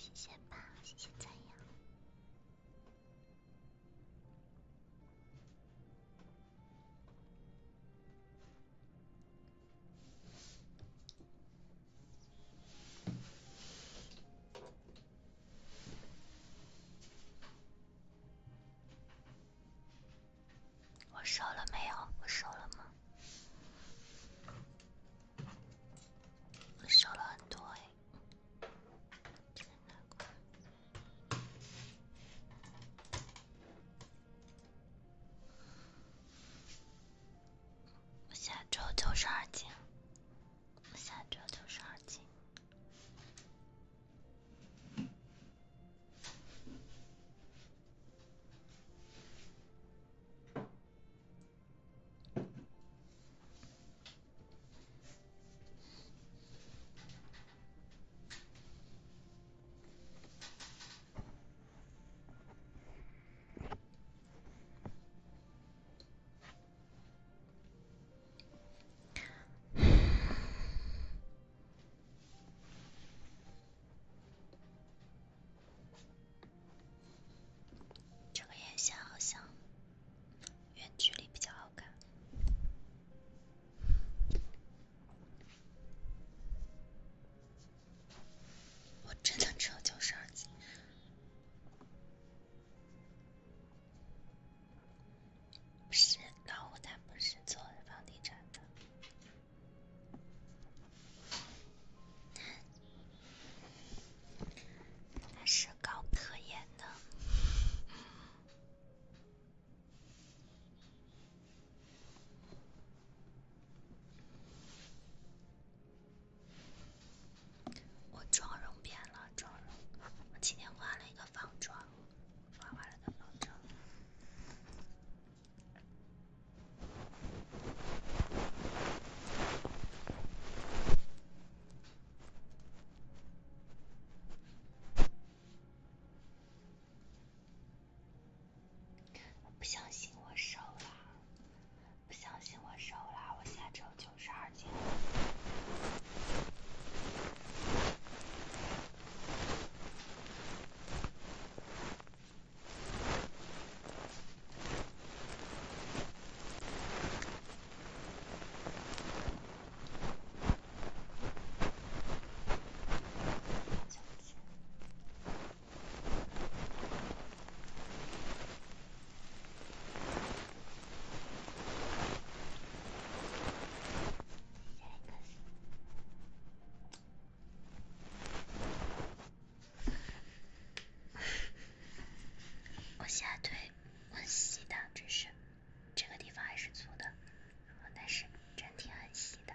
谢谢吧，谢谢赞扬。我瘦了没有？我瘦了吗？我瘦了很多哎，我下周九十二斤，我下周九十二斤。这个眼线好像远距离比较好看。我真的只有九十二不是，老虎他不是做房地产的，他是搞科研的。我妆容变了，妆容。我今天画了一个仿妆，画完了的仿妆。不相信我瘦了，不相信我瘦了，我下周九十二斤。我现在腿很细的，真是，这个地方还是粗的，但是整体很细的。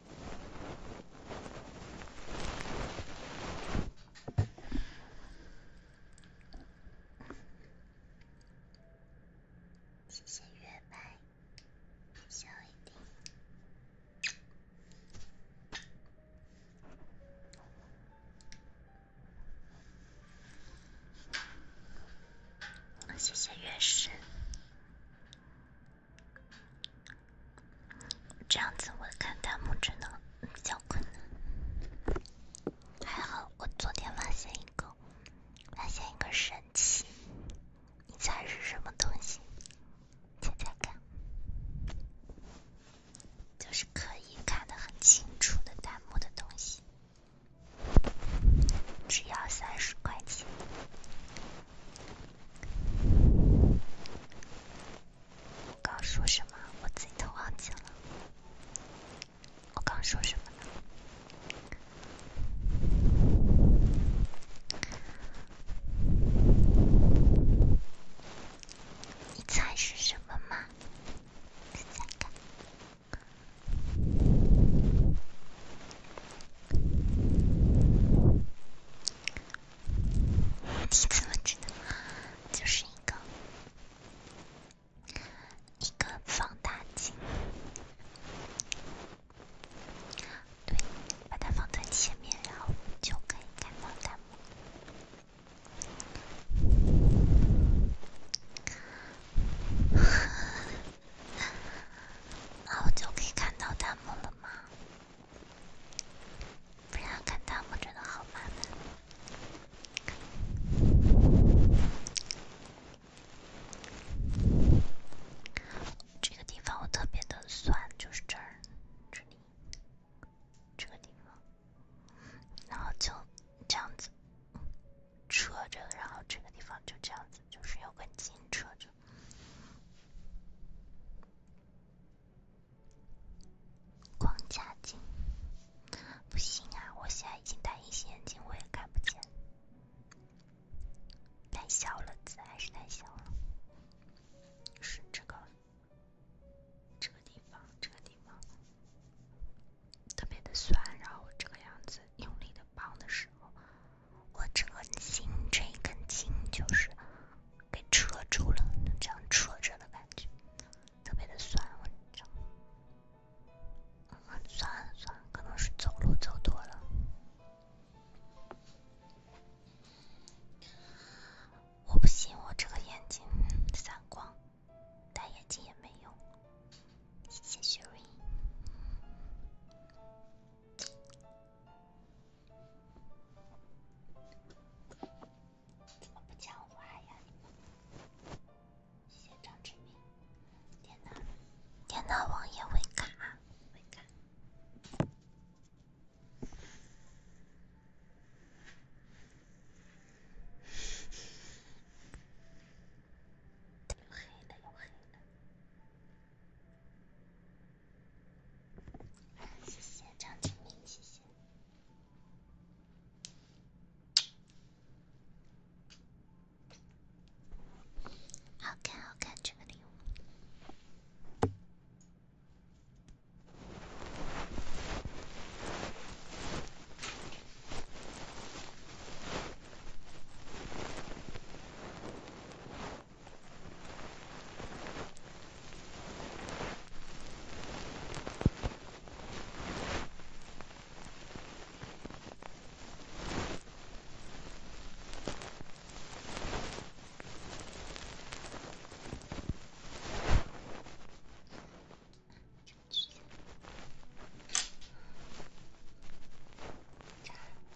谢谢月白，小一点。谢谢月神。这样子我看弹幕真的比较困难，还好我昨天发现一个，发现一个神器，你猜是什么东西？猜猜看，就是可以看得很清楚的弹幕的东西，只要三十块钱。我刚说什么？我自己都忘记了。我刚说什么呢？你猜是什么吗？再看。你怎么知道？就是一个一个放大镜，对，把它放在前面，然后 就可以看到他们，然后就可以看到他们了吗？不然看弹幕真的好麻烦。这个地方我特别的酸，就是这儿，这里，这个地方，然后就这样子扯着，然后这个地方就这样子，就是有根筋扯着。框架镜不行啊！我现在已经戴隐形眼镜，我也看不见。太小了，字还是太小了。是这个这个地方，这个地方特别的酸。然后这个样子用力的帮的时候，我这个筋，这一根筋就是。给扯住了，这样扯着的感觉，特别的酸，我你这，嗯，酸酸，可能是走路走多了。我不信。我这个眼睛散光，戴眼镜也没用。谢谢雪瑞。怎么不讲话呀？你们？谢谢张志明。天哪，天哪，网页会卡，会卡。有黑的，有黑的。谢谢张志明，谢谢。好看，好看，这个礼物。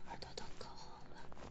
耳朵都烤红了。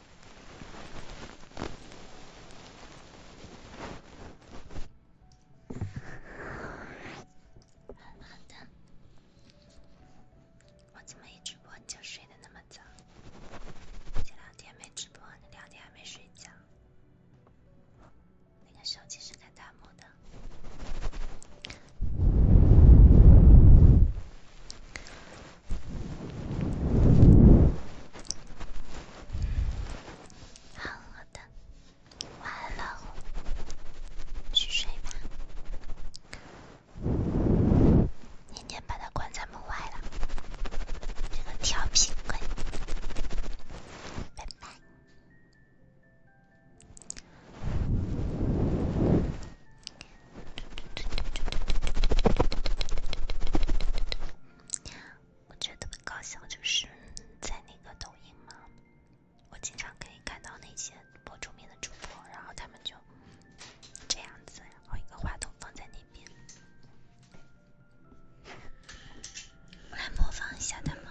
好的，我怎么一直播就睡得那么早？前两天没直播，那两天还没睡觉。那个手机是看弹幕的。好好的，晚安了，去睡吧。年年把他关在门外了，这个调皮鬼。拜拜。我觉得特别搞笑，就是在那个抖音嘛，我经常可以看到那些博主面的主播，然后他们就这样子，然后一个话筒放在那边，我来模仿一下他们。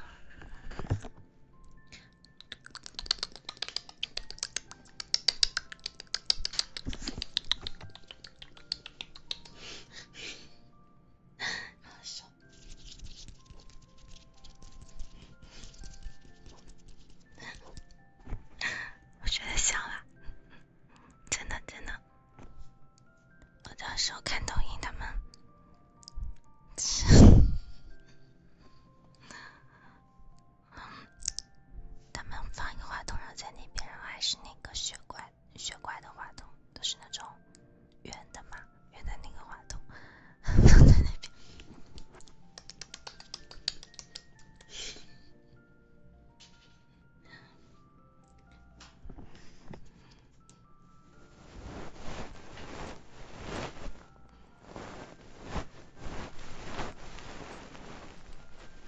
好 我觉得笑了，真的真的。我有时候看抖音，他们，他们放一个话筒，然后在那边，然后还是那个学怪。雪怪的话筒都是那种圆的嘛，圆的那个话筒放在那边。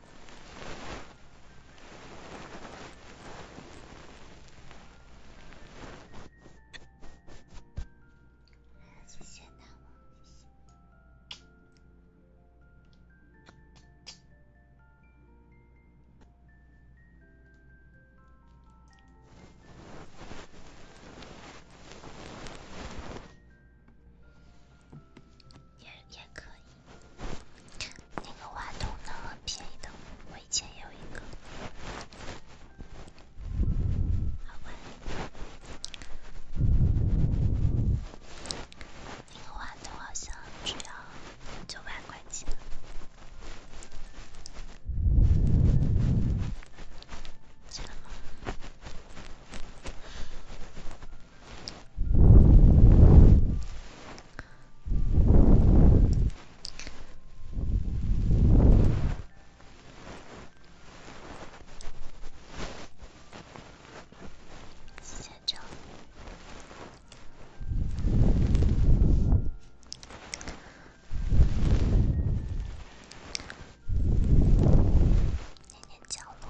谢谢大王，谢谢，也也可以。那个花筒呢，很便宜的，我以前有一个，好吧。那个花筒好像只要九百块钱。钱吗？写照。念念角落。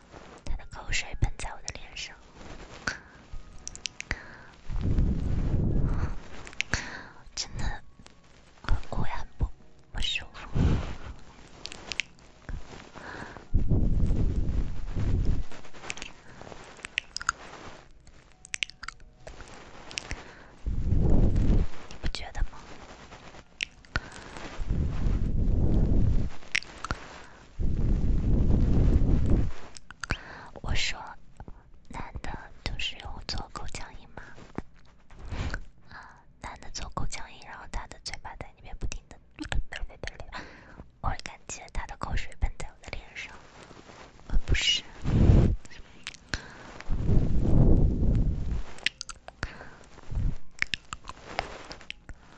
他的口水喷在我的脸上，真的会很不不舒服，你不觉得吗？我说，男的就是有做口腔。糖吗？啊，男的做口香糖，然后他的嘴巴在那边不停的，我感觉他的口水喷在我的脸上。啊，不是。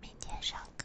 明天上课。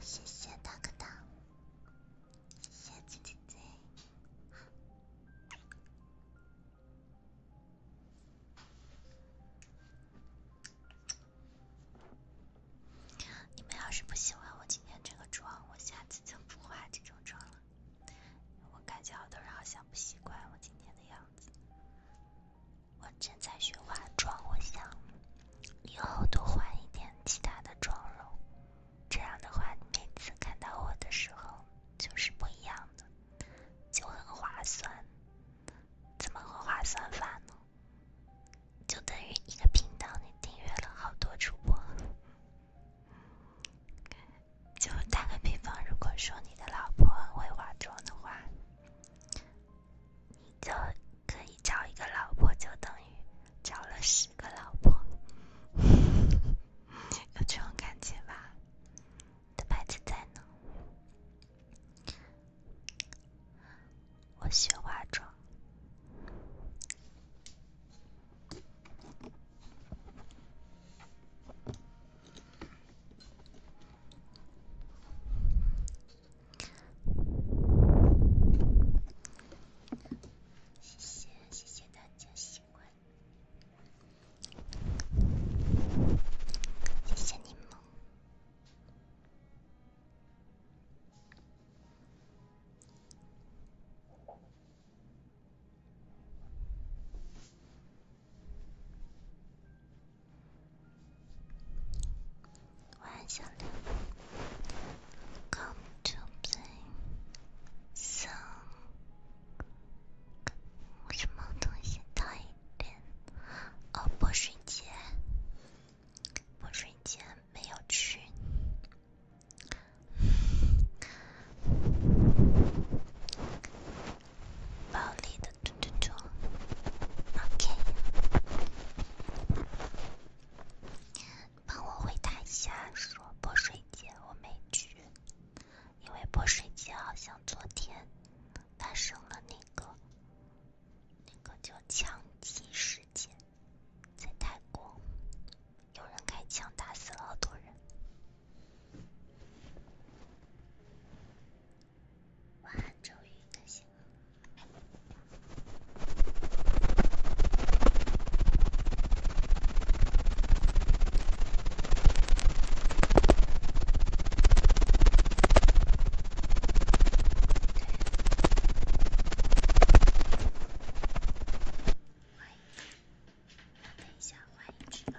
谢谢大哥大，谢谢猪猪你们要是不喜欢我今天这个妆，我下次就不化这种妆了。我感觉好多人好像不习惯我今天的样子。我正在学化妆，我想以后多换一点其他的妆容。这样的话，每次看到我的时候就是不一样的，就很划算。怎么个划算法呢？就等于一个频道，你订阅了好多主播。就打个比方，如果说你的老婆很会化妆的话。就可以找一个老婆，就等于找了十个老婆，有这种感觉吧？的牌子在呢，我喜欢化妆。谢谢，谢谢大家喜欢，谢谢你们。晚上好，Come to play song。我是猫同学，大一点。哦，不睡觉，不睡觉，没有去。暴力的嘟嘟嘟，OK，帮我回答一下，说泼水节我没去，因为泼水节好像昨天发生了那个，那个叫枪击事件，在泰国，有人开枪打死了好多人。晚安，周瑜。那些，画等一下，画一只吧。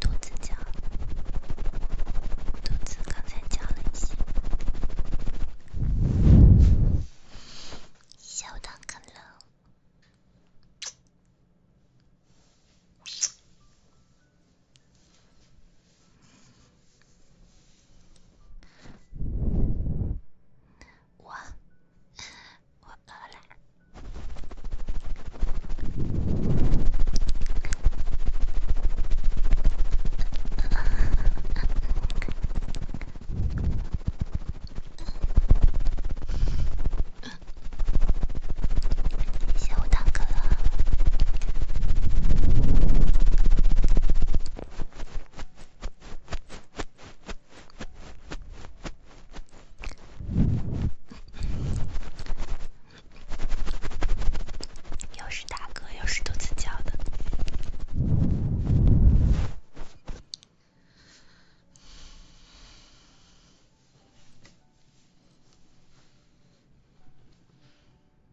肚子叫，肚子刚才叫了一些，小汤可乐。我，我饿了。谢谢我大哥。又是打嗝，又是肚子叫的。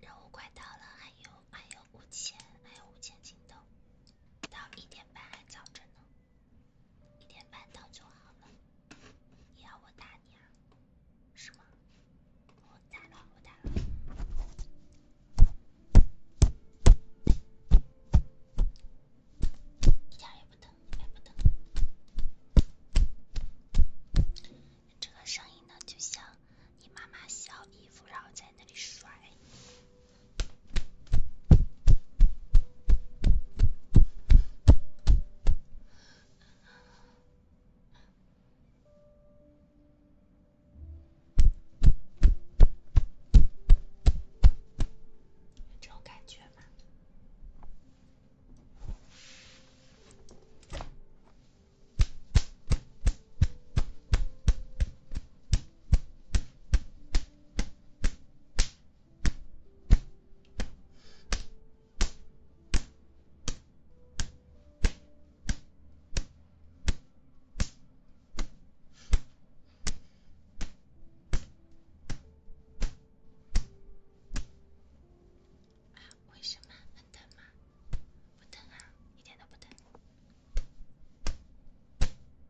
任务快到了，还有还有五千，还有五千进度，到一点半还早着呢。一点半到就好了，你要我打你啊？是吗？我打了，我打了，一点也不疼，也不疼。这个声音呢，就像你妈妈洗好衣服，然后在那里甩。这感觉吗？啊？为什么？疼吗？不疼啊，一点都不疼。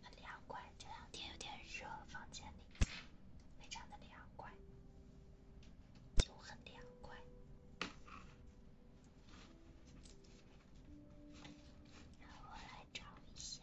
很凉快，这两天有点热，房间里非常的凉快，就很凉快。我来找一下。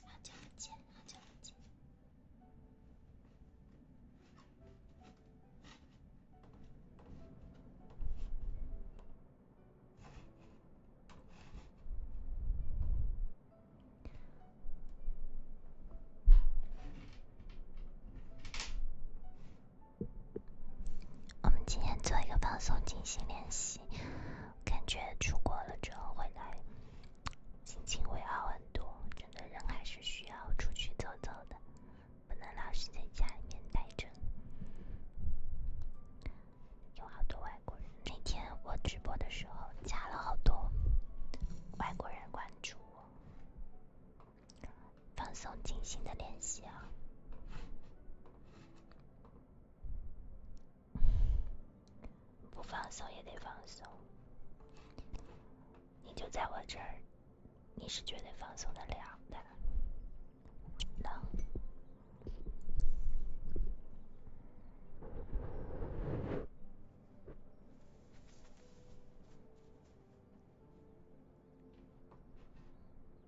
好久不见，好久不见。我们今天做一个放松进行练习。感觉出国了之后回来，心情会好很多。真的，人还是需要出去走走的，不能老是在家里面待着。有好多外国人，那天我直播的时候加了好多外国人关注我。放松，静心的练习啊。不放松也得放松，你就在我这儿，你是绝对放松的，了的，冷。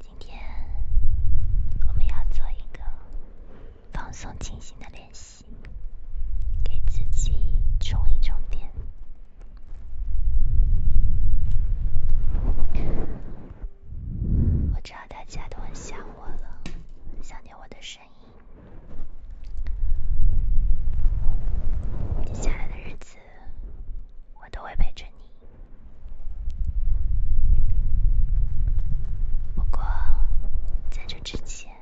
今天我们要做一个放松清醒的练习，给自己充一充电。我知道大家都很想我了，很想念我的声音。接下来的日子。我都会陪着你。不过，在这之前，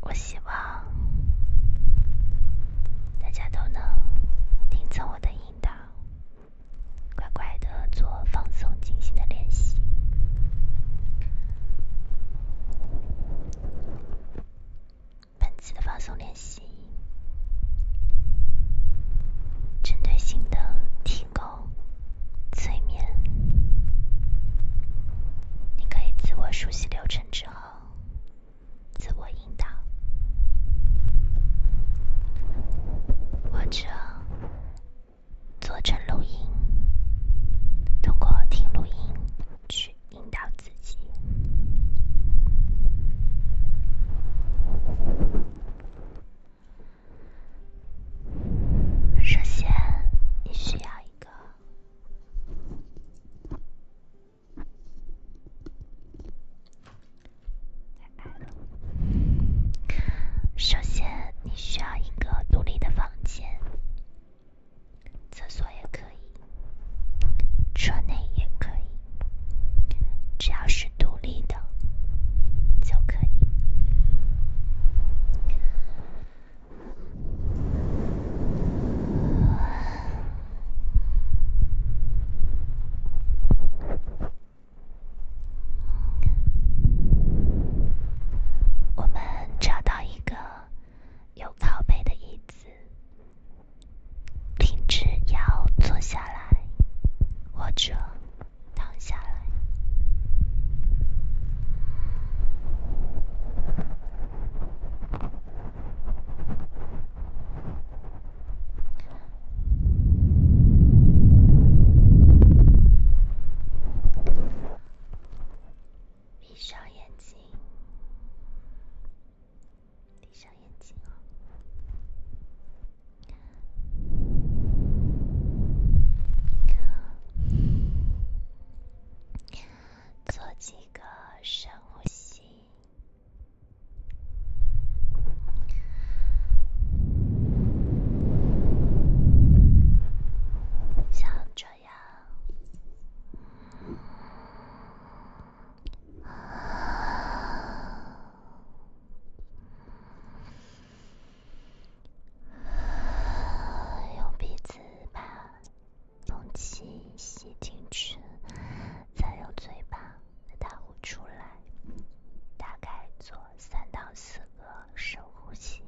我希望大家都能听从我的引导，乖乖的做放松、静心的练习。本次的放松练习，针对性的提供催眠，你可以自我熟悉流程之后，自我引导，或者做成录音，通过听录音去。引导自己。首先，你需要一个。首先，你需要一个独立的房间。厕所也可以，车内也可以，只要是独立的就可以。我们找到一个有靠背的椅子。停止摇，坐下来，或者躺下来，闭上眼睛。闭上眼睛做几个深呼吸，像这样。用鼻子把空气吸进去，再用嘴巴再呼出来，大概做三到四个深呼吸。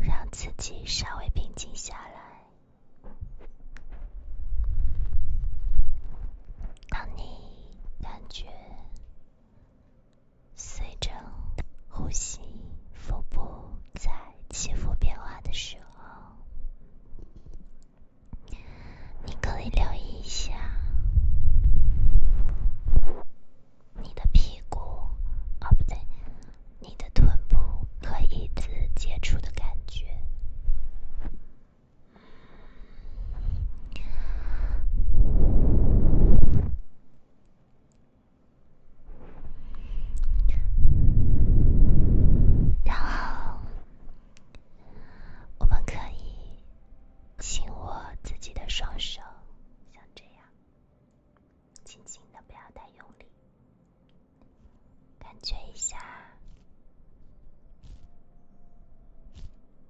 让自己稍微平静下来。当你感觉随着呼吸，腹部在起伏变化的时候。你可以留意一下你的屁股，哦，不对，你的臀部和椅子接触的感觉，然后我们可以。请握自己的双手，像这样，轻轻的，不要太用力，感觉一下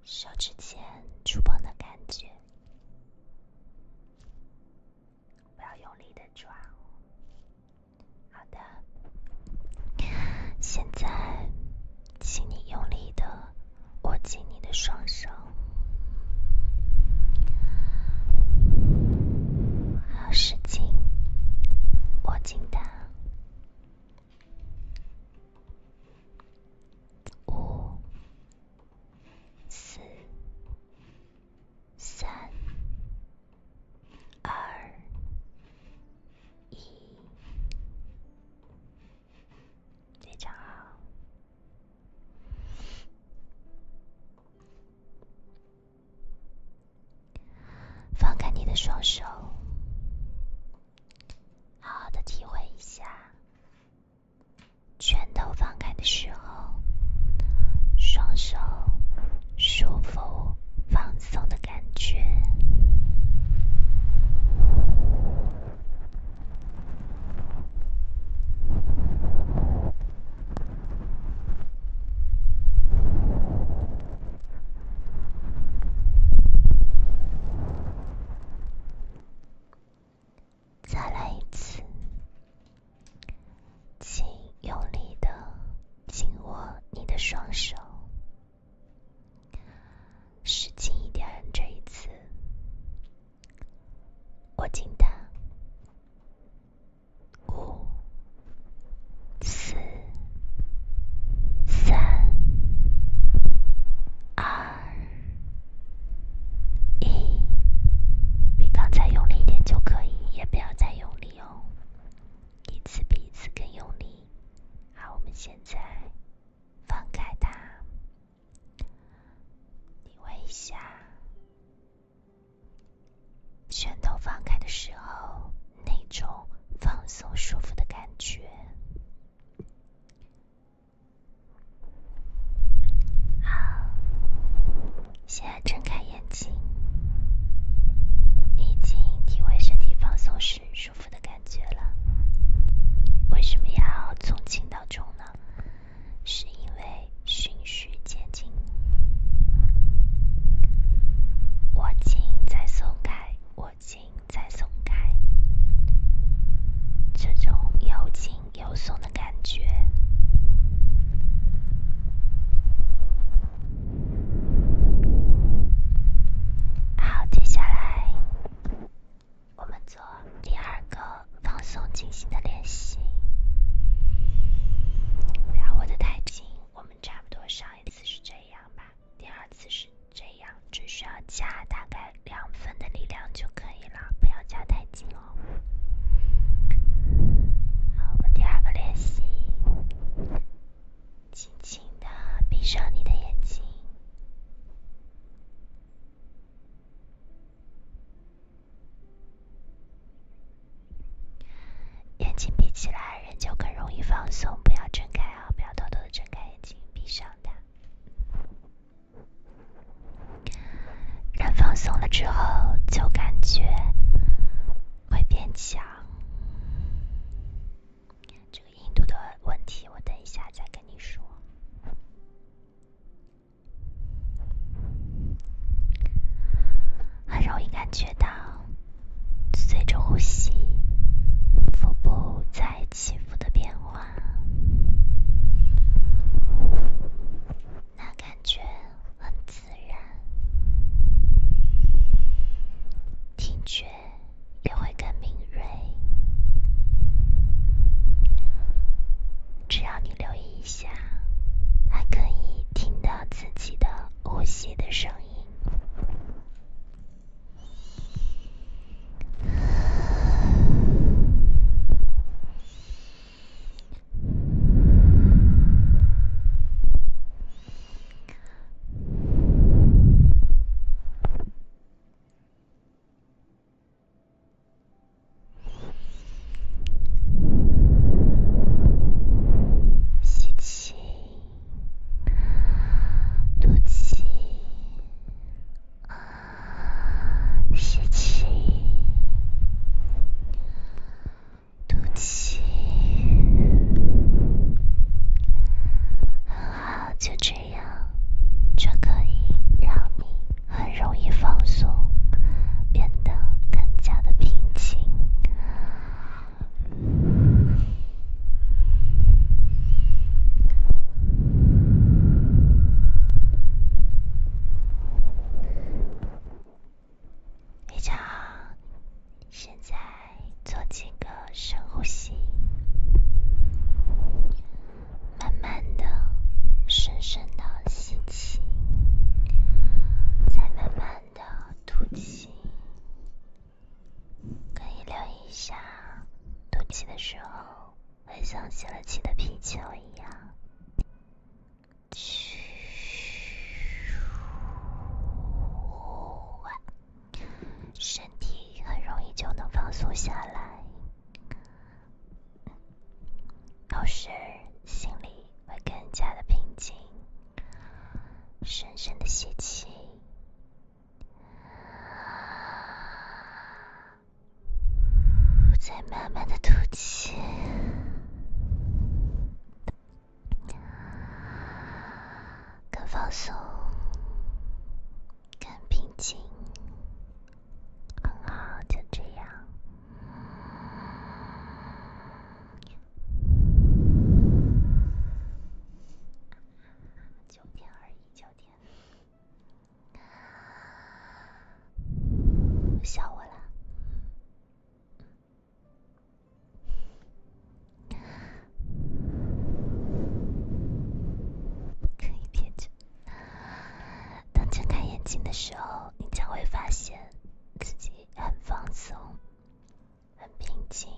手指尖触碰的感觉，不要用力的抓哦。好的，现在，请你用力的。握紧你的双手，好使劲握紧它。五、四、三、二、一。非常好，放开你的双手，好好的体会一下，拳头放开的时候，双手舒服放松的感觉。再来一次，请用力地紧握你的双手。使劲一点，这一次，握紧它，五、四、三、二、一，比刚才用力一点就可以，也不要再用力哦，一次比一次更用力。好，我们现在放开它。你会一下，拳头放开的时候那种放松舒服的感觉。好，现在睁开眼睛，已经体会身体放松时。舒服的感觉了。为什么要从轻到重呢？是因为循序渐进。握紧再松开，握紧再松开，这种又紧又松的感觉。好，接下来。我们做第二个放松静心的练习，不要握得太紧。我们差不多上一次是这样吧，第二次是这样，只需要加大概两分的力量就可以了，不要加太紧哦。好，我们第二个练习，轻轻的闭上你的眼睛。眼睛闭起来，人就更容易放松。不要睁开啊！不要偷偷的睁开眼睛，闭上它。人放松了之后，就感觉会变强。印度的问题，我等一下再跟你说。很容易感觉到，随着呼吸，腹部在起伏的变化，那感觉很自然，听觉。也会更敏锐。只要你留意一下，还可以听到自己的呼吸的声音。就这样。这样就可以让你很容易放松，变得更加的平静。非常现在做几个深呼吸。慢慢的、深深的吸气，再慢慢的吐气，可以留意一下吐气的时候，会像泄了气的皮球一样，身体很容易就能放松下来。有时，心里会更加的平静，深深的吸气，再慢慢的吐气，更放松，更平静。很好，就这样。九点二一，九点，笑我了。可以憋着。当睁开眼睛的时候，你将会发现自己很放松、很平静，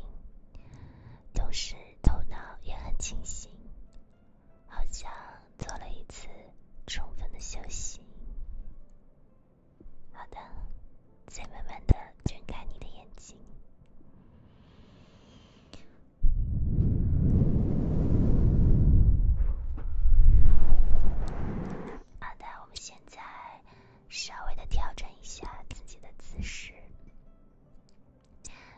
同时头脑也很清醒，好像做了一次充分的休息。好的，再慢慢的睁开你的眼睛。阿呆，我们现在稍微的调整一下自己的姿势。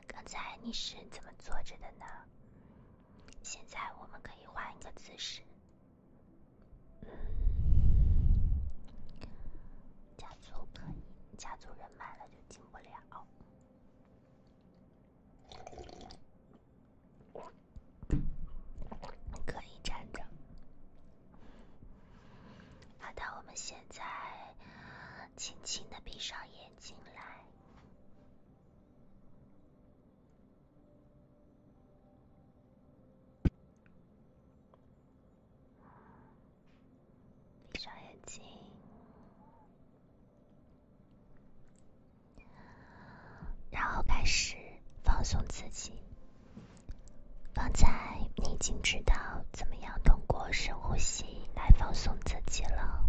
刚才你是怎么坐着的呢？现在我们可以换一个姿势。嗯，家族可以，家族人满了就进不了。可以站着。好，那我们现在轻轻地闭上眼睛来，闭上眼睛。然后开始放松自己。刚才你已经知道怎么样通过深呼吸来放松自己了。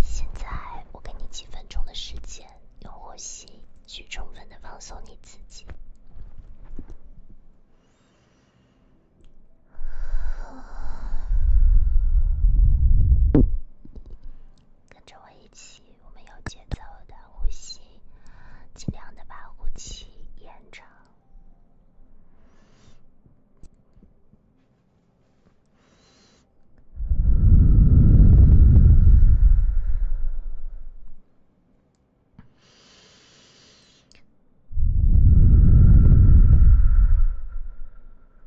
现在我给你几分钟的时间，用呼吸去充分的放松你自己。跟着我一起，我们有节奏的呼吸，尽量的把呼吸延长。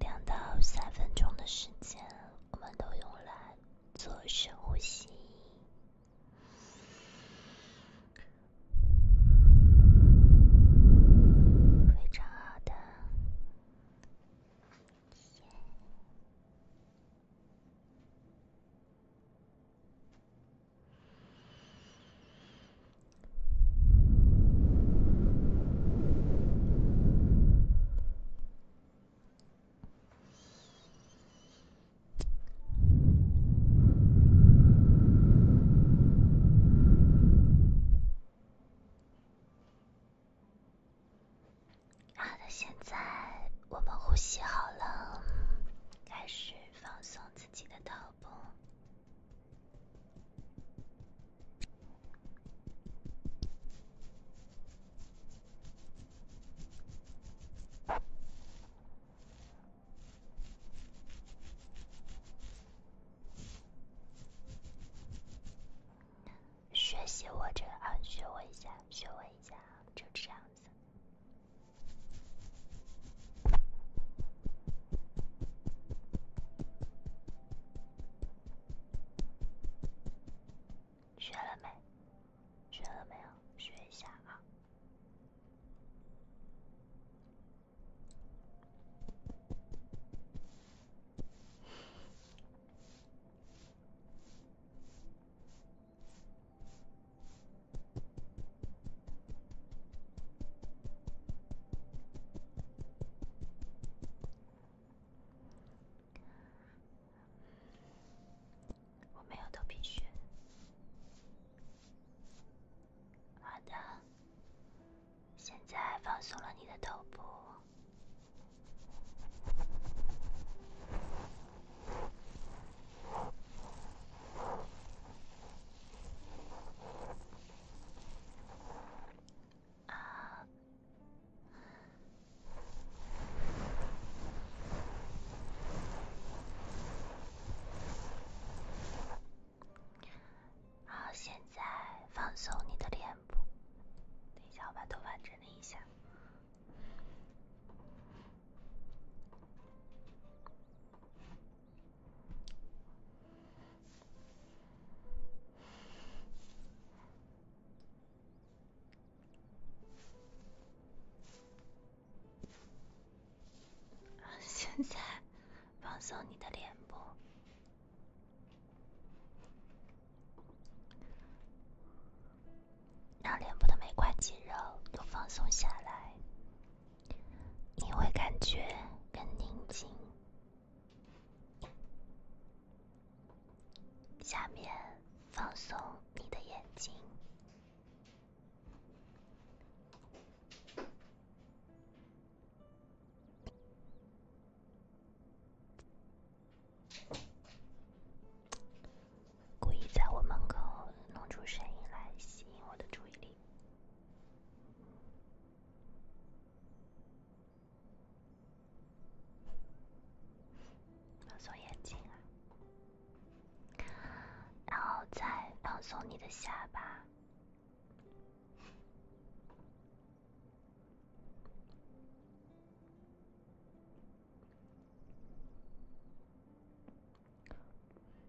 两到三分钟的时间，我们都用来做深呼吸，非常好的。好的，现在我们呼吸好了，开始放松自己的头部。学习我这个，学我一下，学我一下，就这样子。学了没？学了没有？学一下啊。我没有头皮屑。好的，现在放松了你的头部。好，现在放松你的脸部。等一下，我把头发整理一下。现在放松你的脸部，让脸部的每块肌肉都放松下来。你会感觉更宁静。下面放松你的眼睛。故意在我门口弄出声音来吸引我的注意力。放松眼睛，啊，然后再放松你的下巴。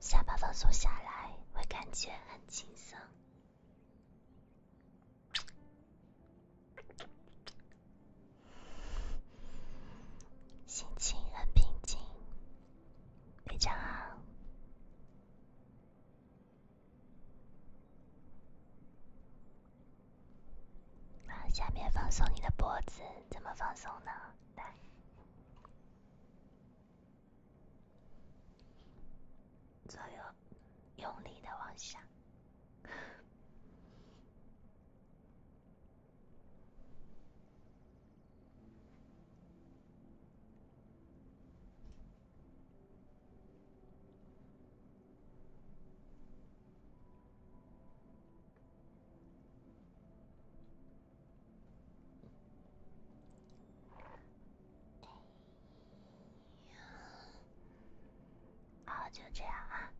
下巴放松下来，会感觉很轻松，心情很平静，非常好。好，下面放松你的脖子，怎么放松呢？来。左右用力的往下。哎呀，好，就这样啊。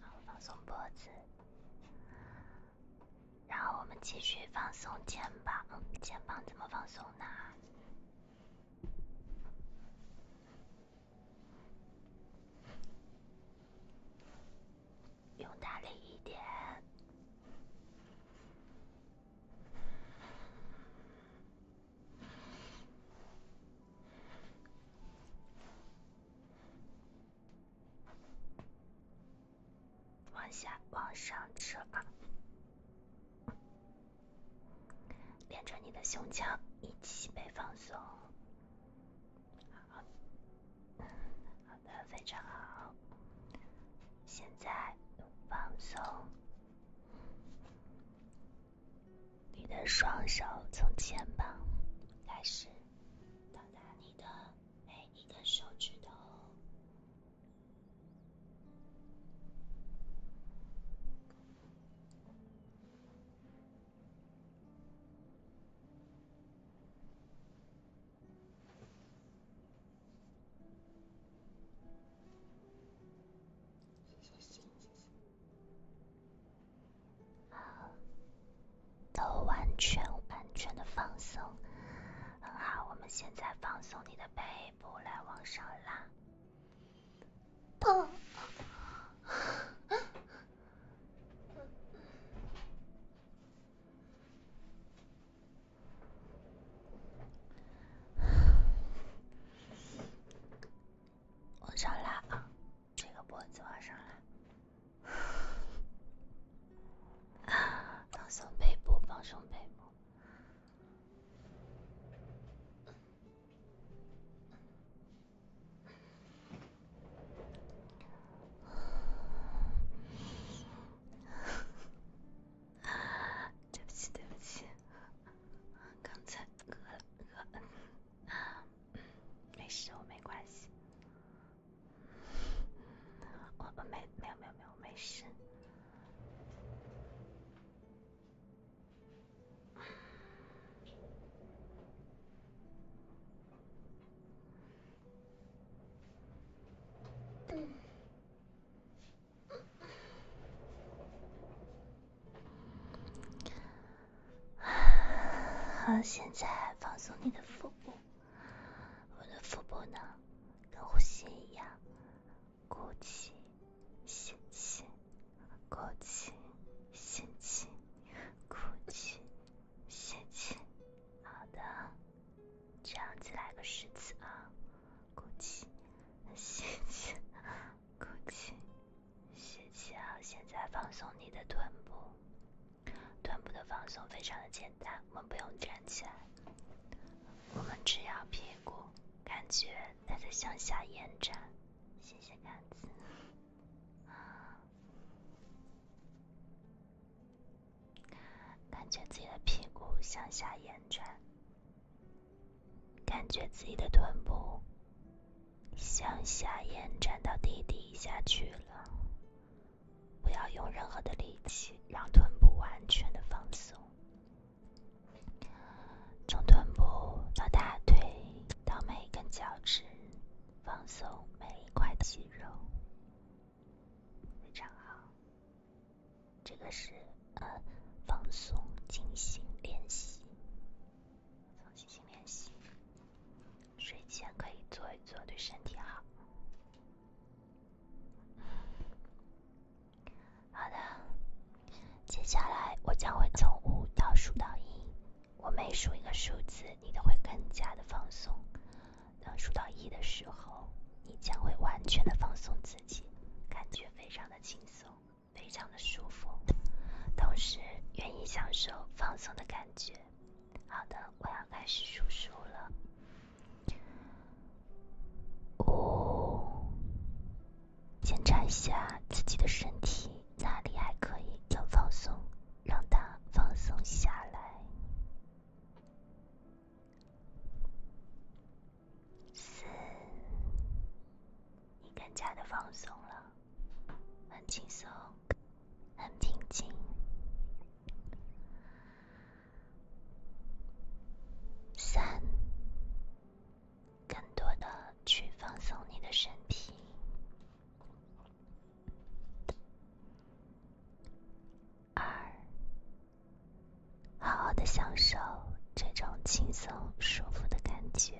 然后放松脖子，然后我们继续放松肩膀。肩膀怎么放松呢？用大力一点，往下、往上扯，连着你的胸腔一起被放松。好。那非常好。现在放松，你的双手从肩膀开始，到达你的每一个手指头。好，都完全完全的放松，很好。我们现在放松你的背部，来往上拉。往上拉啊，这个脖子往上拉，放松背部，放松背部。啊，对不起，对不起，刚才磕了磕，嗯，没事，我没关系，我我没没有没有没有，我没事。嗯。好，现在放松你的腹部。我的腹部呢，跟呼吸一样，鼓起，吸气，鼓气、吸气，鼓气、吸气，好的。这样子来个十次啊，鼓起，吸气，鼓起，吸气啊！现在放松你的臀部，臀部的放松非常的简单，我们不用站起来，我们只要屁股，感觉它在向下延展，谢谢杆子。感觉自己的屁股向下延展，感觉自己的臀部向下延展到地底下去了。不要用任何的力气，让臀部完全的放松。从臀部到大腿到每一根脚趾，放松每一块肌肉。非常好，这个是呃放松静心练习，放松静心练习，睡前可以做一做，对身体好。好的，接下来我将会从五倒数到一，我每数一个数字，你都会更加的放松。当数到一的时候，你将会完全的放松自己，感觉非常的轻松，非常的舒服，同时愿意享受放松的感觉。好的，我要开始数数了。五，检查一下自己的身体哪里还可以更放松，让它放松下来。四，你更加的放松了，很轻松，很平静。三，更多的去放松你的身体。二，好好的享受这种轻松舒服的感觉。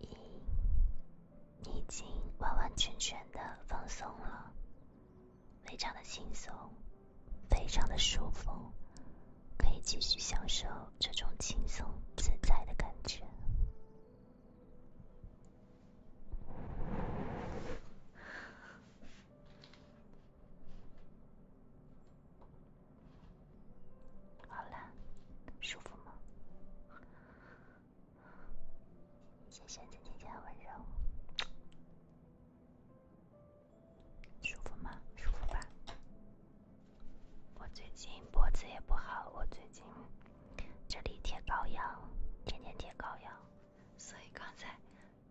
一，你已经完完全全的放松了，非常的轻松，非常的舒服，可以继续享受这种轻松自在的感觉。好了，舒服吗？谢谢子姐姐的温柔，舒服吗？舒服吧。我最近脖子也不好，我最近。这里贴膏药，天天贴膏药，所以刚才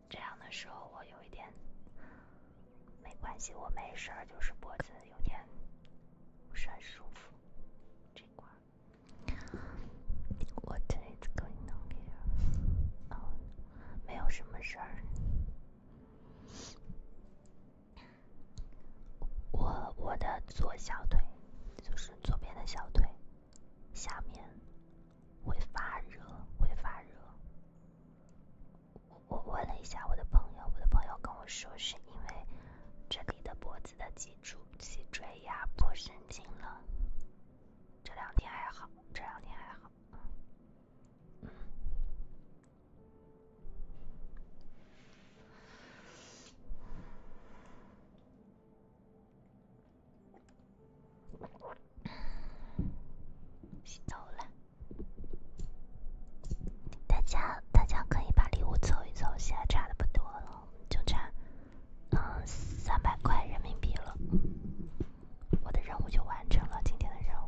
这样的时候，我有一点没关系，我没事儿，就是脖子有点不是很舒服这块。What is going on？没有什么事儿。我我的左小腿，就是左边的小腿。下面会发热，会发热。我问了一下我的朋友，我的朋友跟我说是因为这里的脖子的脊柱、脊椎压迫神经了。这两天还好，这两天还好。嗯，洗澡了，大家大家可以把礼物凑一凑，现在差的不多了，就差嗯三百块人民币了，我的任务就完成了，今天的任务。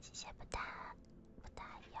谢谢不打不打药。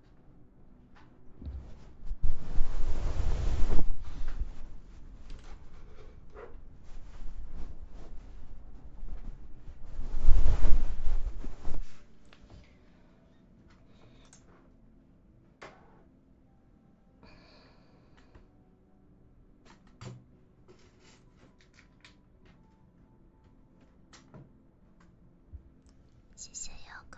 谢谢瑶狗。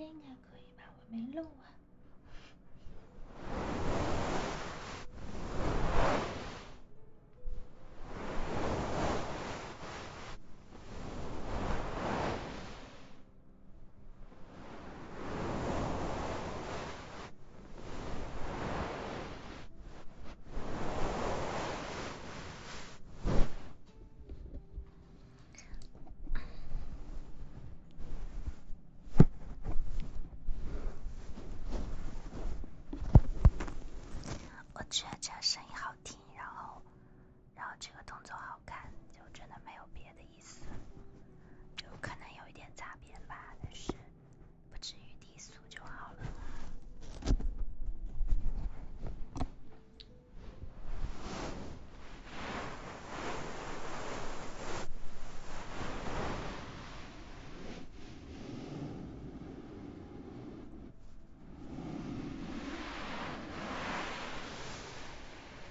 应该可以吧，我没漏啊。我觉得这个声音好听，然后。然后这个动作好看，就真的没有别的意思，就可能有一点杂变吧，但是不至于低俗就好了。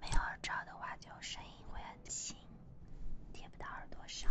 没有耳罩的话，就声音会很轻，贴不到耳朵上。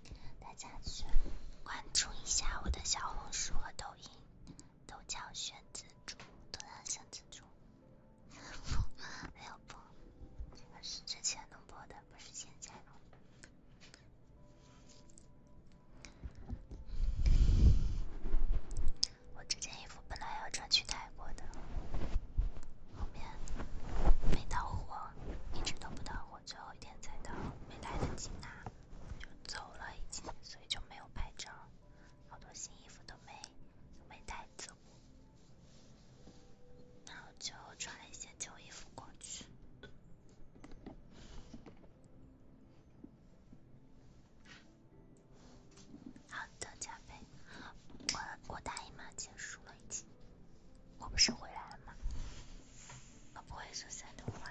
大家去关注一下我的小红书和抖音，都叫玄子猪，都叫玄子猪。不，没有播，这是之前能播的，不是现在弄的。我这件衣服本来要穿去泰国的，后面没到货，一直都不到货，最后一天才到，没来得及拿，走了，已经，所以就没有拍照，好多新衣服都没都没带走，然后就穿了一些旧衣服过去。好的，加菲，我我大姨妈结束了已经。我不是回来了吗？我不会说山东话。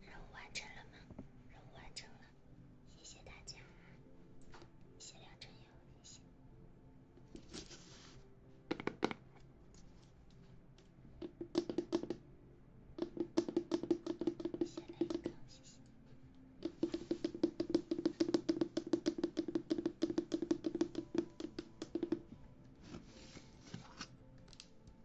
任务完成了吗？任务完成了，谢谢大家，谢谢梁真友，谢谢，谢谢雷刚，谢谢。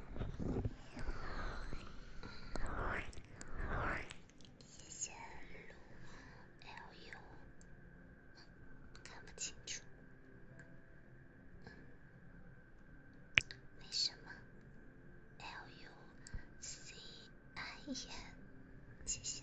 路线路 L U，看不清楚。嗯，没什么。L U C I N，谢谢。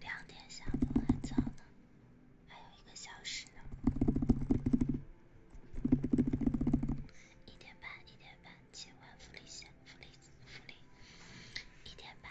两点下播还早呢，还有一个小时呢。一点半，一点半，千万福利险，福利，福利，一点半。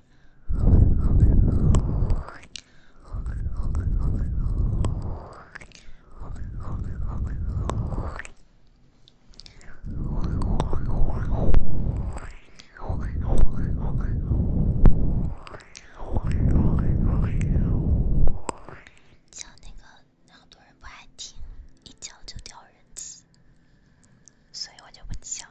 叫那个，很多人不爱听，一叫就掉人气，所以我就不叫了。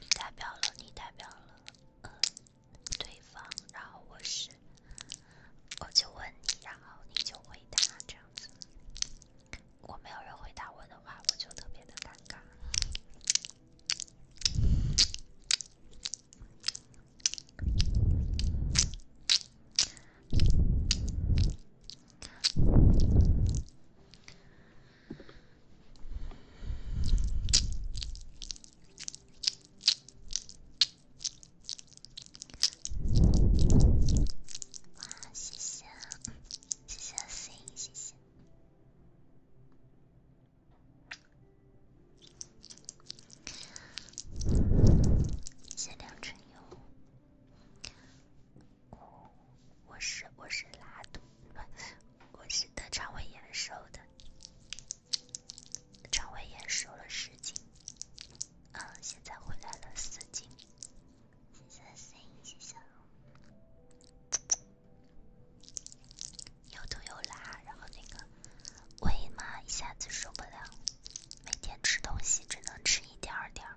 你代表了，你代表了，呃，对方，然后我是，我就问你，然后你就回答这样子。如果没有人回答我的话，我就特别的尴尬。哇，谢谢，谢谢思颖，谢谢，谢良晨佑。我我是我是拉肚子，不，我是得肠胃炎瘦的，肠胃炎瘦了十斤，嗯，现在回来了四斤，谢谢 C，谢谢，又吐又拉，然后那个胃嘛一下子受不了，每天吃东西只能吃一点点儿。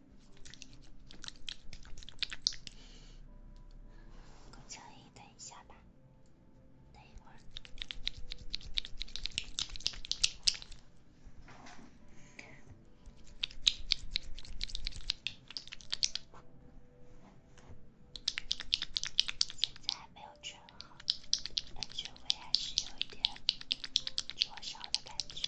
顾秋颖，等一下吧，等一会儿。现在还没有卷好，安全位还是有一点灼烧的感觉。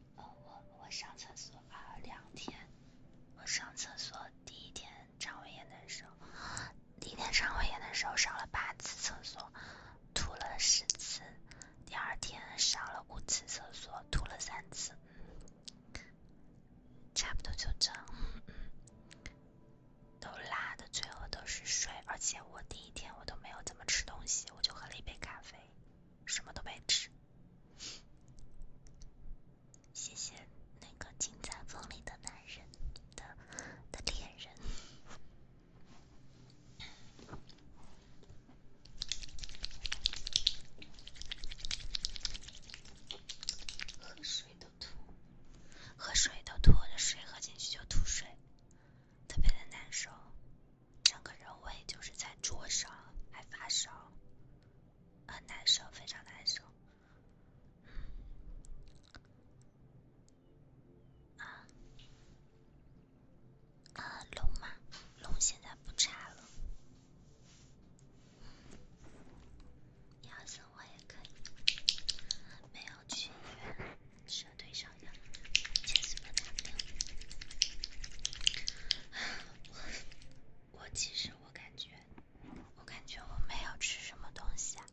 呃，我我上厕所啊两天，我上厕所第一天肠胃炎的时候，第一天肠胃炎的时候上了八次厕所，吐了十次，第二天上了五次厕所，吐了三次，差不多就这，样，都拉的最后都是水，而且我第一天我都没有怎么吃东西，我就喝了一杯咖啡。什么都没吃，谢谢那个金在风里的男人的的恋人。喝水都吐，喝水都吐，我的水喝进去就吐水。特别的难受，整个人胃就是在灼烧，还发烧，很难受，非常难受。啊啊，龙吗？龙现在不查了，你要死我也可以，没有去医院，只是腿伤。我我其实我感觉，我感觉我没有吃什么东西啊，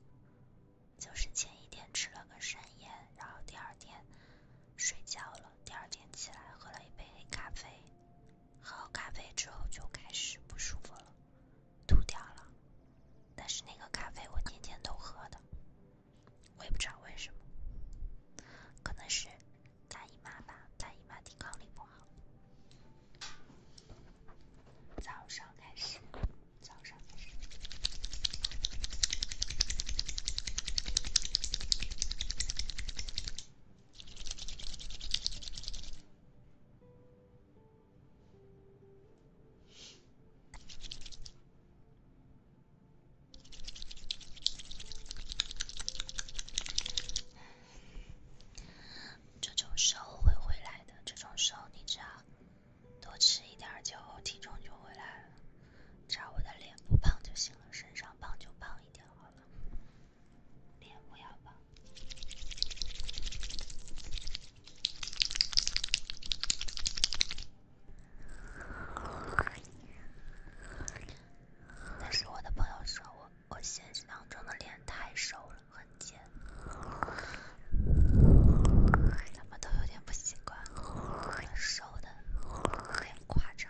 就是前一天吃了个山药，然后第二天睡觉了，第二天起来喝了一杯黑咖啡，喝完咖啡之后就开始不舒服了，吐掉了。但是那个咖啡我天天都喝的。我也不知道为什么，可能是大姨妈吧，大姨妈抵抗力不好。早上开始，早上开始。这种时候会回来的。这种时候，你只要多吃一点，就体重就回来了。只要我的脸不胖就行了，身上胖就胖一点好了，脸不要胖。但是我的朋友说我，我现实当中的脸太瘦了，很尖，他们都有点不习惯，很瘦的，很夸张。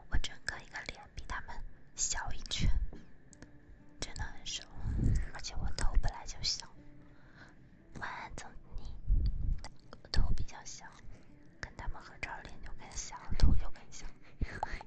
我整个一个脸比他们小一圈，真的很瘦，而且我头本来就小。晚安，总你，我头比较小，跟他们合照脸就更小，头就更小。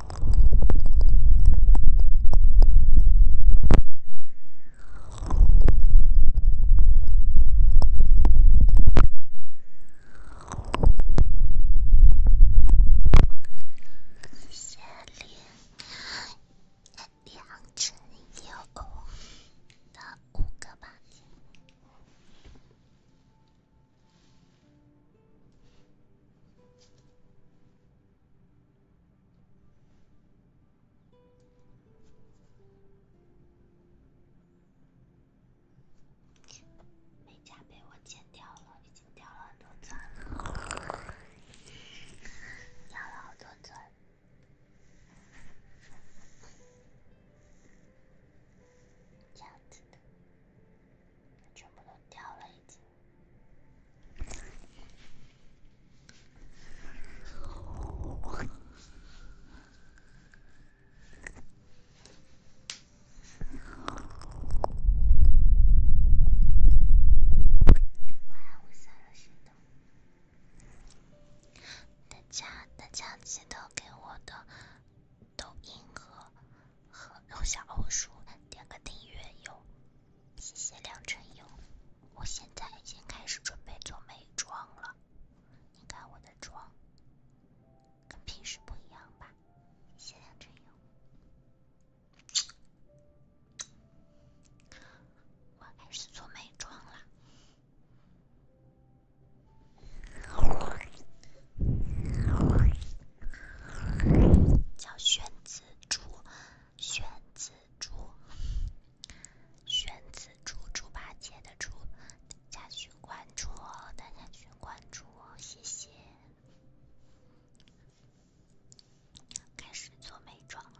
下面两乘六的五个吧。美甲被我剪掉了，已经掉了很多钻了，掉了好多钻，这样子的，全部都掉了。一。大家大家记得给我的抖音和和小红书，点个订阅哟。谢谢梁晨英，我现在已经开始准备做美妆了。你看我的妆，跟平时不一样吧？谢谢梁晨英，我开始做美妆了，叫宣子猪。选紫猪，选紫猪，猪八戒的猪，大家去关注哦，大家去关注哦，谢谢。开始做美妆啦。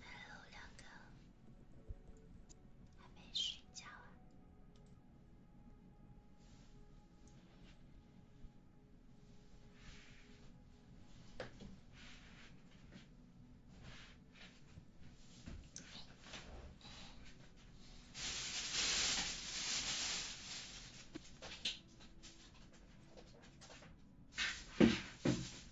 还有两个，还没睡觉啊。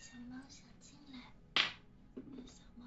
小猫想进来，小猫。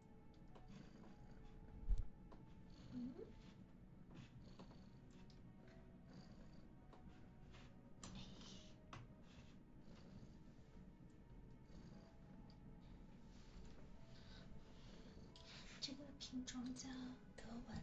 这个品种叫德文。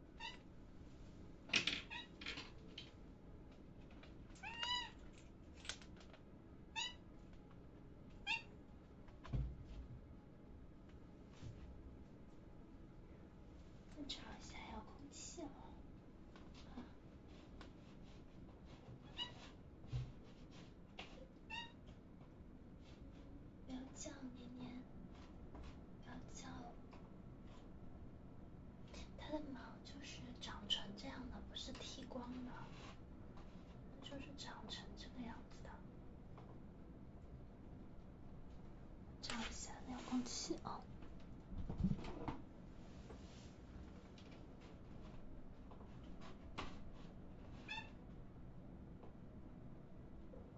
我找一下遥控器了。啊！不要叫年年，不要叫。它的毛就是长成这样的，不是剃光的，就是长成这个样子的。照一下遥控器哦。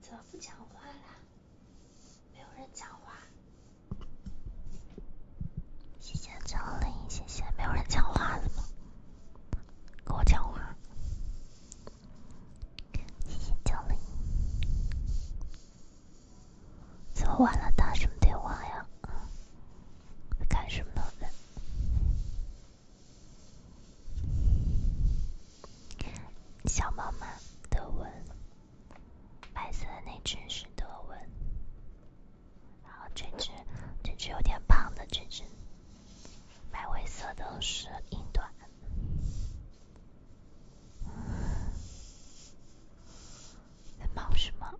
怎么不讲话啦？没有人讲话？谢谢张林，谢谢，没有人讲话了吗？跟我讲话？谢谢张林。这么晚了打什么电话呀？干什么的？小猫吗？德文，白色的那只是德文，然后这只，这只有点胖的这只，白灰色的是英短。在忙什么？